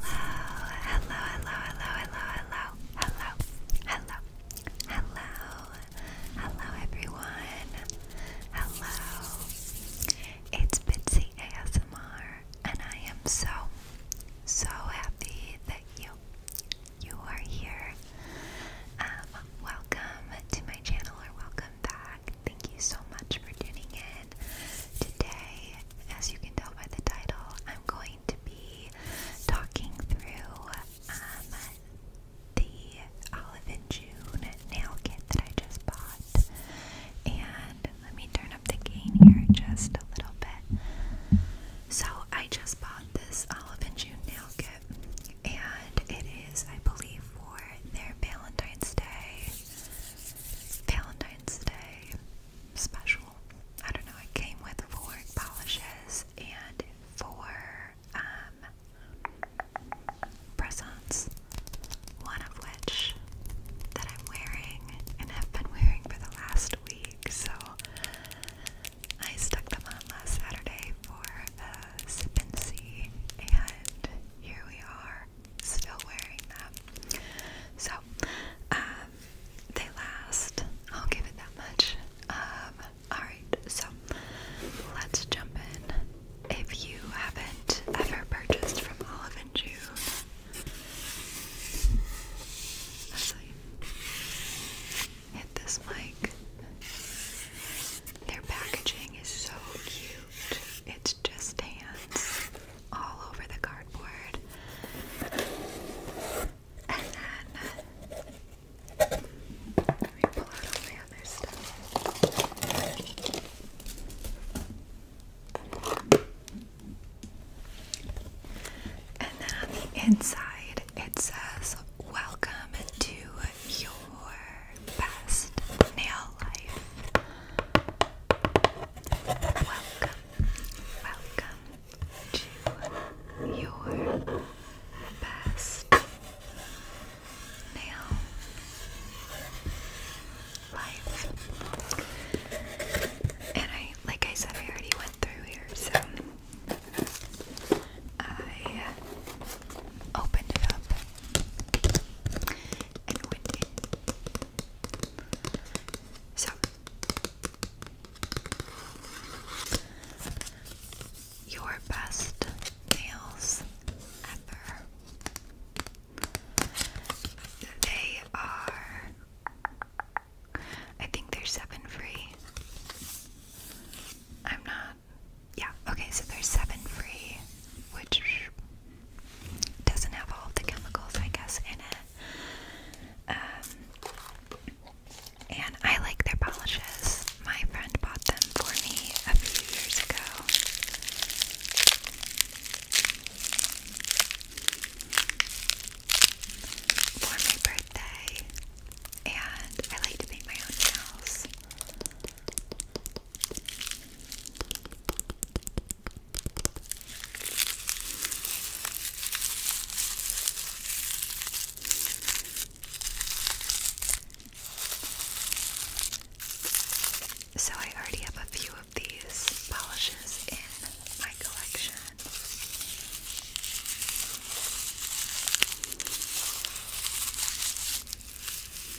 hello, hello, hello, hello, hello, hello, hello, hello, everyone. Hello, it's Bitsy ASMR, and I am so, so happy that you, you are here. Um, welcome to my channel, or welcome back. Thank you so much for tuning in today, as you can tell by the title, I'm going to be talking through um, the Olive and June nail kit that I just bought. And let me turn up the gain here just a little bit. So I just bought this Olive and June nail kit, and it is, I believe, for their Valentine's Day, Valentine's Day special. I don't know, it came with four polishes and four um, press-ons, one of which that I'm wearing and have been wearing for the last week, so I stuck them on last Saturday for the sip and see, and here we are still wearing them. So, um, they last. I'll give it that much. Um, alright, so let's jump in. If you haven't ever purchased from Olive and June, hit this mic. Their packaging is so cute. It's just hands all over the cardboard. And then let me pull out my other stuff. And then on the inside, it says, Welcome to your best nail life. Welcome, welcome to your best nail life. And I, like I said, I already went through here, so I opened it up and went in. So your best nails ever. They are I think they seven free. I'm not yeah, okay, so they seven free, which doesn't have all the chemicals, I guess, in it. Um, and I like their polishes. My friend bought them for me a few years ago. For my birthday, and I like to make my own nails. So, I already have a few of these polishes in my collection.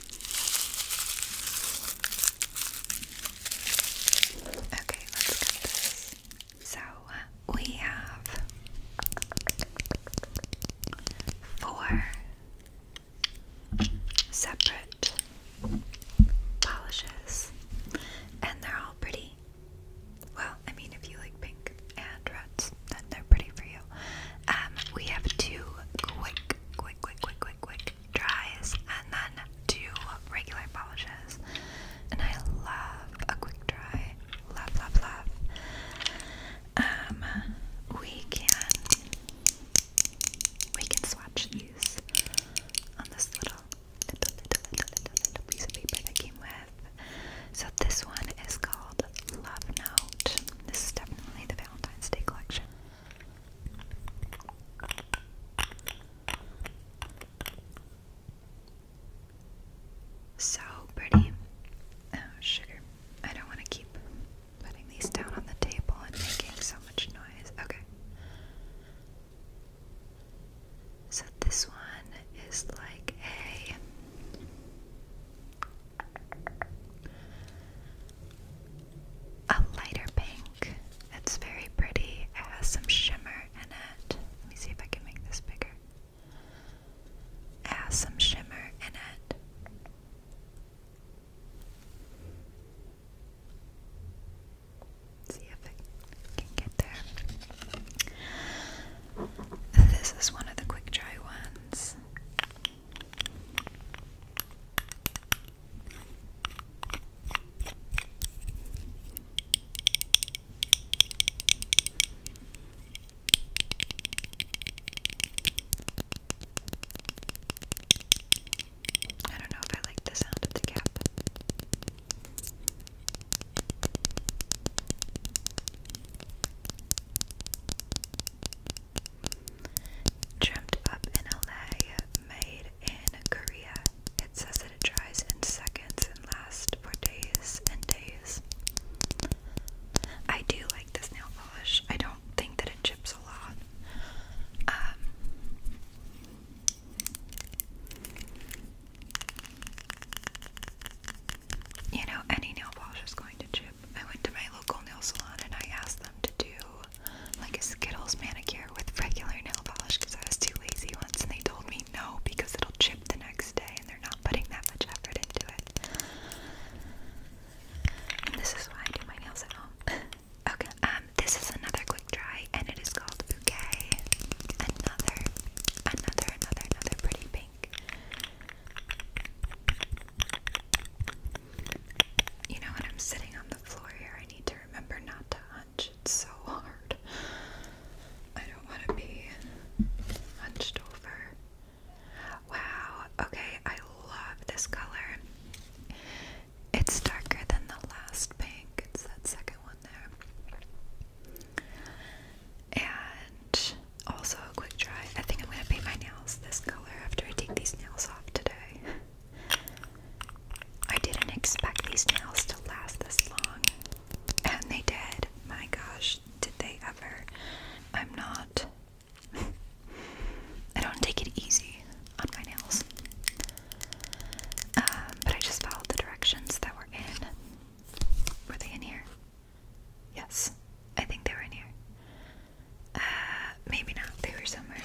Okay, let's cut this. So uh, we have four separate polishes, and they're all pretty. Well, I mean, if you like pink and red, then they're pretty for you. Um, we have two quick, quick, quick, quick, quick, quick dries, and then two regular polishes. And I love a quick dry. Love, love, love. Um, we can we can swatch these on this little piece of paper that came with. So this one is called Love Note. This is definitely the Valentine's Day collection. So pretty. Oh, sugar. I don't want to keep putting these down on the table and making so much noise. Okay. So this one is like a a lighter pink. It's very pretty. It has some shimmer in it. Let me see if I can make this bigger. It has some shimmer in it. See if I can get there. This is one of the quick dry ones this. I don't know if I like the sound of the cap. Dreamt up in LA, made in Korea. It says that it dries in seconds and lasts for days and days. I do like this nail polish. I don't think that it chips a lot. Um, you know, any nail polish is going to chip. I went to my local nail salon and I asked them to do like a Skittles manicure with regular nail polish because I was too lazy once and they told me no because it'll chip the next day and they're not putting that much effort into it. And this is why I do my nails at home. okay, um, this is another quick dry and it is called Bouquet. Another, another, another, another pretty pink you know when I'm sitting on the floor here I need to remember not to hunch. It's so hard. I don't want to be hunched over. Wow, okay, I love this color. It's darker than the last pink. It's that second one there also a quick dry. I think I'm gonna paint my nails this color after I take these nails off today. I didn't expect these nails to last this long, and they did. My gosh, did they ever? I'm not. I don't take it easy on my nails, um, but I just followed the directions that were in. Were they in here? Yes, I think they were in here. Uh, maybe not. They were somewhere.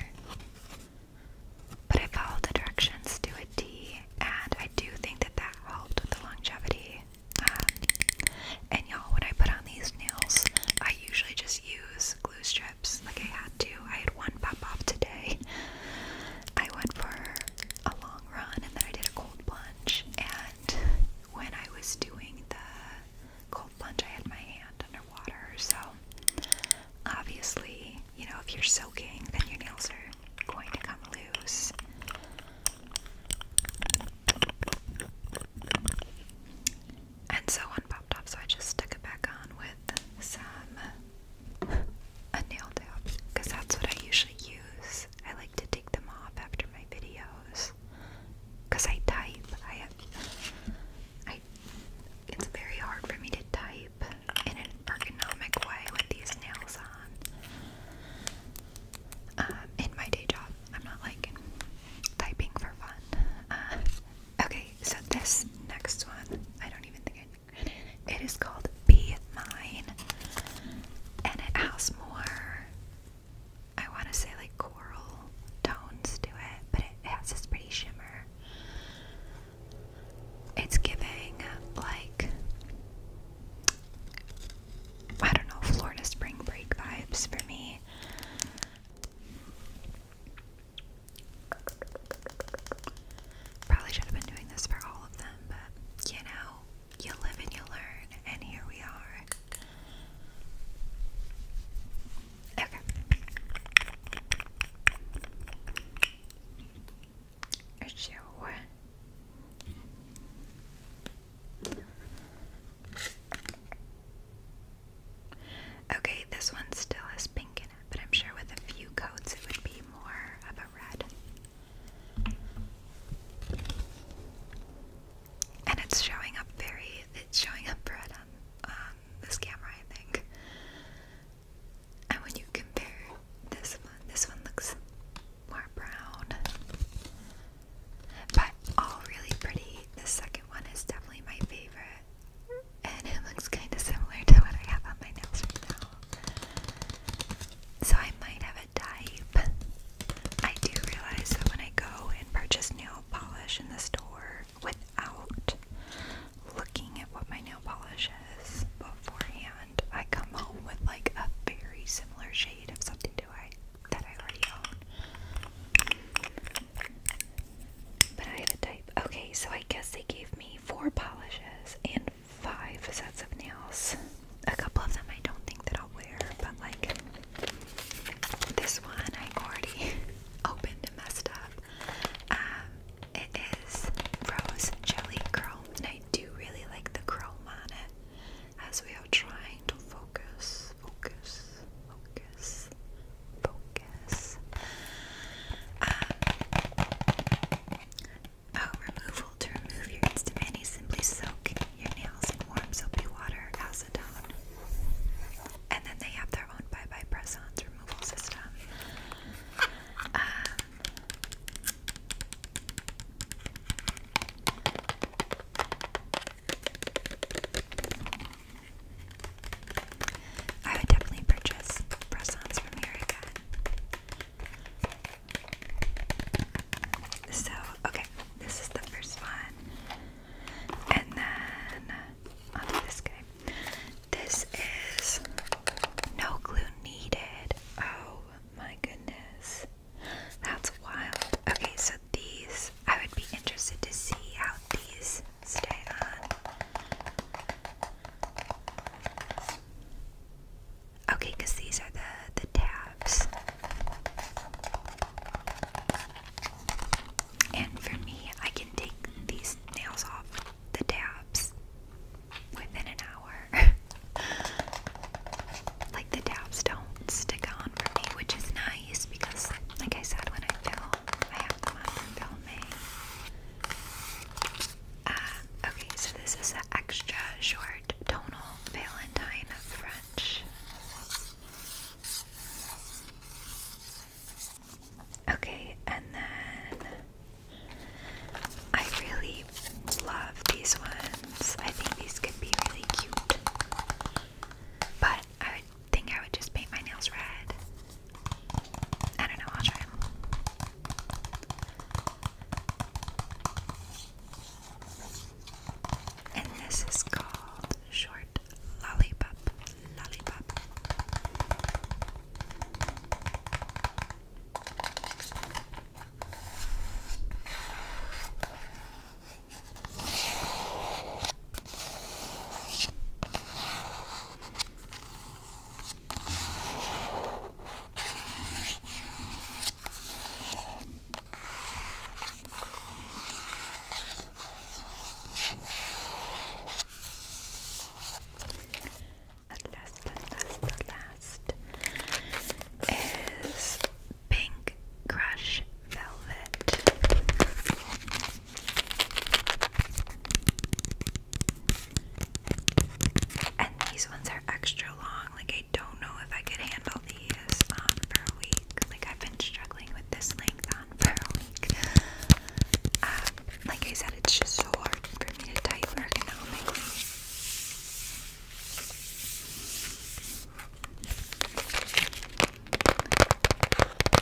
But I followed the directions to a T, and I do think that that helped with the longevity. Um, and y'all, when I put on these nails, I usually just use glue strips. Like I had to. I had one pop off today. I went for a long run and then I did a cold plunge and when I was doing the cold plunge I had my hand underwater so obviously you know if you're soaking then your nails are going to come loose and so one popped off so I just stuck it back on with some a nail dab because that's what I usually use I like to take them off after my videos. Cause I type. I it's very hard for me to type in an ergonomic way with these nails on. Um, in my day job. I'm not like typing for fun. Uh, okay, so this next one, I don't even think I it is called Be Mine, and it has more, I want to say, like coral tones to it, but it has this pretty shimmer. It's giving, like, I don't know, Florida spring break vibes for me. Probably should have been doing this for all of them, but you know, you live and you learn, and here we are. Okay. Achoo. Okay, this one still has pink in it, but I'm sure with a few coats it would be more of a red. And it's showing up very, it's showing up red on this camera, I think. And when you compare this one, this one looks more brown. But all really pretty. The second one is definitely my favorite. And it looks kind of similar to what I have on my nails right now. So I might have a type. I do realize that when I go and purchase nail polish in the store without looking at what my nail polish is beforehand, I come home with like a very similar shade of something to I that I already own. But I have a type. Okay, so I guess they gave me four polishes and five sets of nails. A couple of them I don't think that I'll wear, but like this one I already opened and messed up. Um, it is Rose Jelly Curl, and I do really like the curl on it. As we are trying to focus, focus, focus, focus. Um, Oh, removal. To remove your instamani, simply soak your nails in warm soapy water, acetone. And then they have their own Bye Bye Press-Ons removal system. Um, I would definitely purchase press from America. So, okay, this is the first one. And then i this guy. This is no glue needed. Oh my goodness. That's wild. Okay, so these, I would be interested to see how these stay on. Okay, because these are the the tabs. And for me, I can take these nails off the tabs within an hour. like the tabs don't stick on for me, which is nice because, like I said, when I film, I have them on for Ah, okay, so this is the extra short tonal Valentine French. Okay, and then I really love these ones. I think these could be really cute. But I would think I would just paint my nails red I don't know, I'll try. And this is called short lollipop. Lollipop. At last, at last, at last is Pink Crush Velvet. And these ones are extra long. Like I don't know if I could handle these for a week. Like I've been struggling with this length on for a week. Um, like I said, it's just so hard for me to type ergonomically.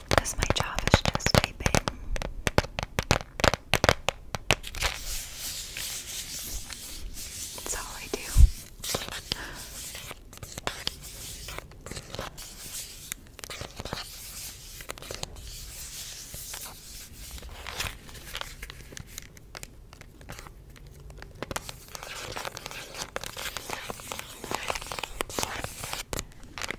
Because my job is just typing. That's all I do.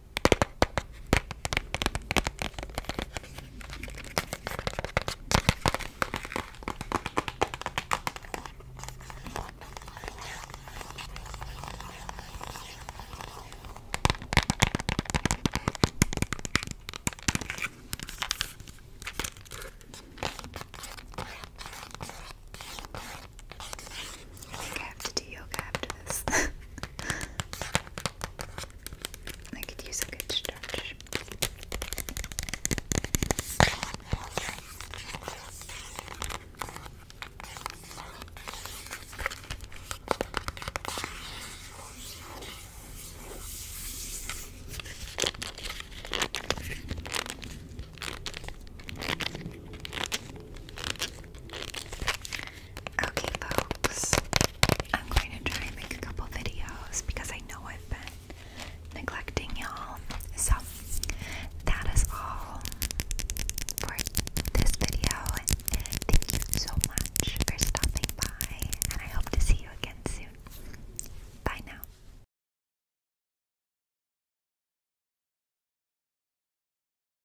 I think have to do yoga after this. I could use a good stretch. Okay, folks, I'm going to try and make a couple videos because I know I've been neglecting y'all. So, that is all for this video. Thank you so much for stopping by, and I hope to see you again soon. Bye now.